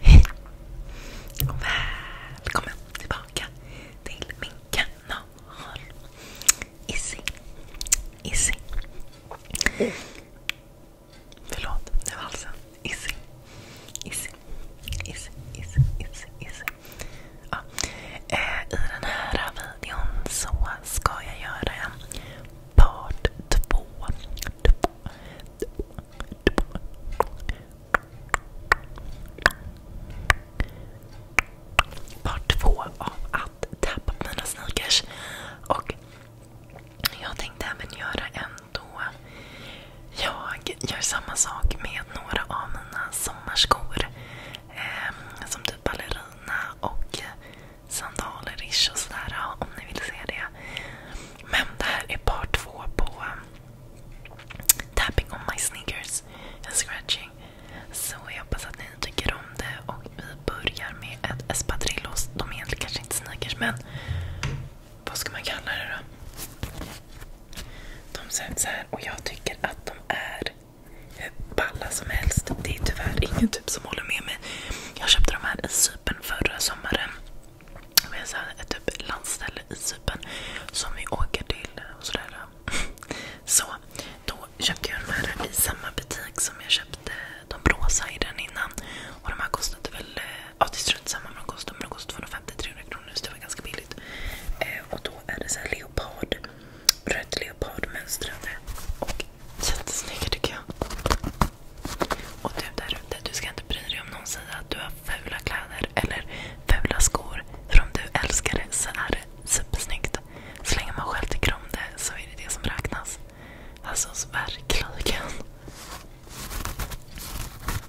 Hej och välkommen tillbaka till min kanal. Izzy. Izzy. Förlåt, det var halsen. Alltså Issy. Issy. Issy. Issy. Issy. Issy. Eh, I den här videon så ska jag göra en part två. två. två. två. Part två av att tappa mina sneakers. Och jag tänkte även göra en då jag gör samma sak med några av mina sommarskor. Eh, som typ ballerina och sandaler och sådär om ni vill se det. Men det här är part två på eh, Tapping on my sneakers and scratching. Så jag hoppas att ni tycker om det och vi börjar med ett espadrillos. De är egentligen kanske inte sneakers men vad ska man kalla det då? De ser sätts här och jag tycker att de är hur balla som helst. Det är tyvärr ingen typ som håller med mig. Jag köpte de här i Cypern förra sommaren. Det är ett typ landställe i Cypern som vi åker till och sådär. Så då köpte jag de här i samma butik som jag köpte de rosa i den innan. Och de här kostade väl eh, Ja, det är strunt samma vad de kostar, men de kostar 250-300 kronor så det var ganska billigt. Eh, och då är det så här leopard, rött leopardmönstrade och jättesnygga tycker jag. Och du där ute, du ska inte bry dig om någon säger att du har fula kläder eller fula skor. För om du älskar det så är det supersnyggt. Så länge man själv tycker om det så är det det som räknas. Alltså verkligen.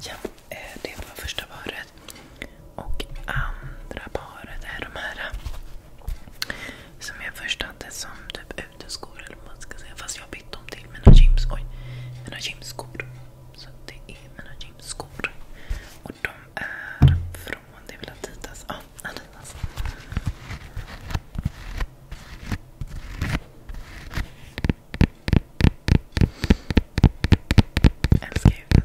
Ja, eh, det var första paret. Och andra paret är de här som jag först hade som typ uteskor eller vad man ska säga. Fast jag har bytt dem till mina gyms. Oj, Mina gymskor. Så det är mina gymskor. Och de är från, det är väl Adidas? Ja, Adidas. älskar ljudet.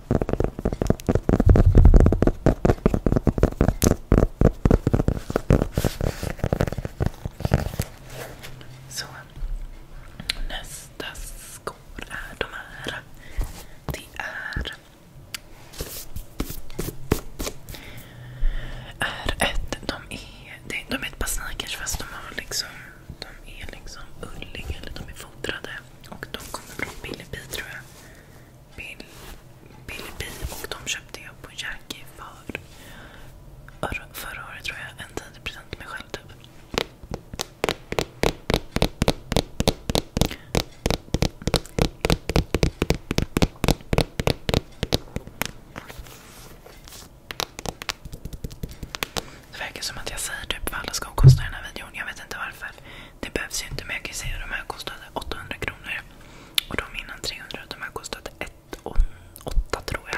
Så. Nästa skor är de här. Det är... är ett, de, är, de är ett par sneakers fast de, har liksom, de är liksom ulliga eller de är fodrade. Och de kommer från Billy B tror jag. Bill, Billy och de köpte jag på Jackie förra året tror jag. En 10% till mig själv typ. Det verkar som att jag säger typ vad alla skor kosta i den här videon. Jag vet inte varför. Det behövs ju inte men jag kan säga att de här kostade 800 kronor. Och de innan 300. De här kostade 1 8 tror jag.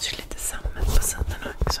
Så lite sammet på sidorna också.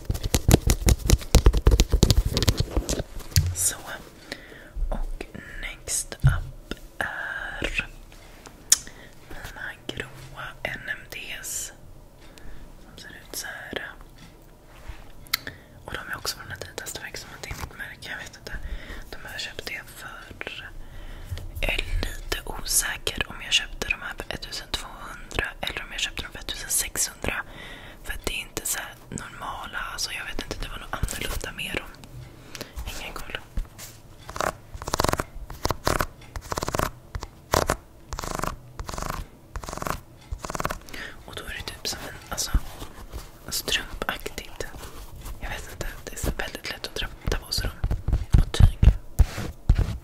Så. Och next up är mina gråa NMDs. Som ser ut så Och de är också från ett vitaste som inte är mitt märke. Jag vet inte. De har jag för... Jag är lite osäker om jag köpte de här för 1200 eller om jag köpte dem för 1600. För det är inte så normala, alltså jag vet inte, det var något annorlunda med dem. Ingen koll. Och då är det typ som en alltså, strumpaktigt. Jag vet inte, det är väldigt lätt att ta på sig dem. Och tyg.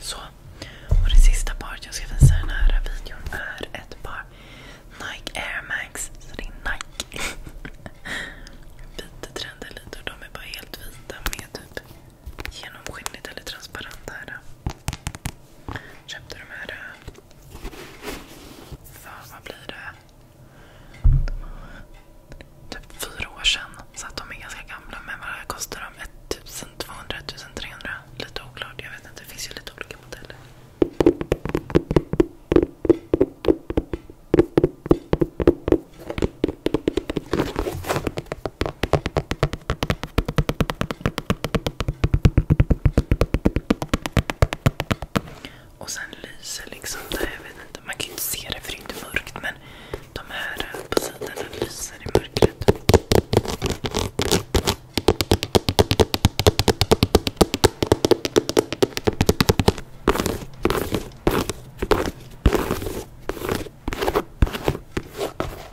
Så. Och det sista paret jag ska visa i den här videon är ett par Nike Air Max. Så det är Nike. Vita trender lite och de är bara helt vita med typ genomskinligt eller transparent här. Köpte de här... Eh, fan, vad blir det? Typ fyra år sedan. Så att de är ganska gamla. Men vad kostar de? 1200, 1300? Lite oklart. Jag vet inte. Det finns ju lite olika modeller. Och sen lyser liksom det, jag vet inte, man kan ju inte se det för det är inte mörkt men de här eh, på sidorna lyser i mörkret.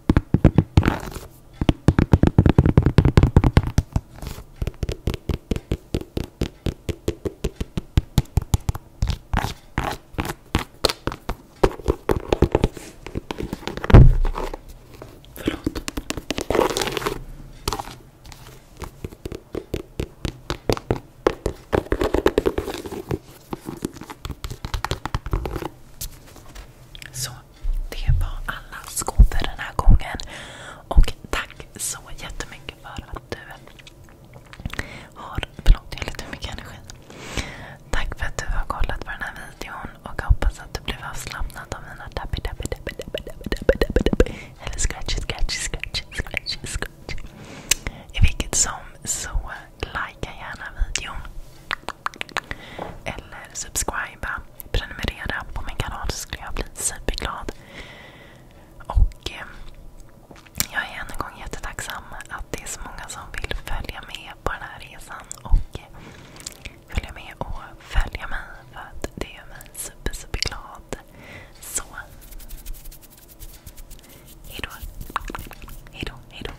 Förlåt. Så det var alla skåp för den här gången. Och tack så jättemycket för att du har... Förlåt, jag har lite mycket energi. Tack för att du har kollat på den här videon och hoppas att du blev avslappnad av mina tappy tappy tappy tappy tappy tappy tappy tappy eller scratchy scratchy scratchy scratchy scratchy. I vilket som så, likea gärna videon. Eller subscriba, prenumerera på min kanal så skulle jag bli superglad. Och eh, jag är än en gång jättetacksam att det är så många som vill följa med på den här resan och eh, följa med och följa mig för att det gör mig super, super glad. Så. Hejdå. Hejdå, hejdå.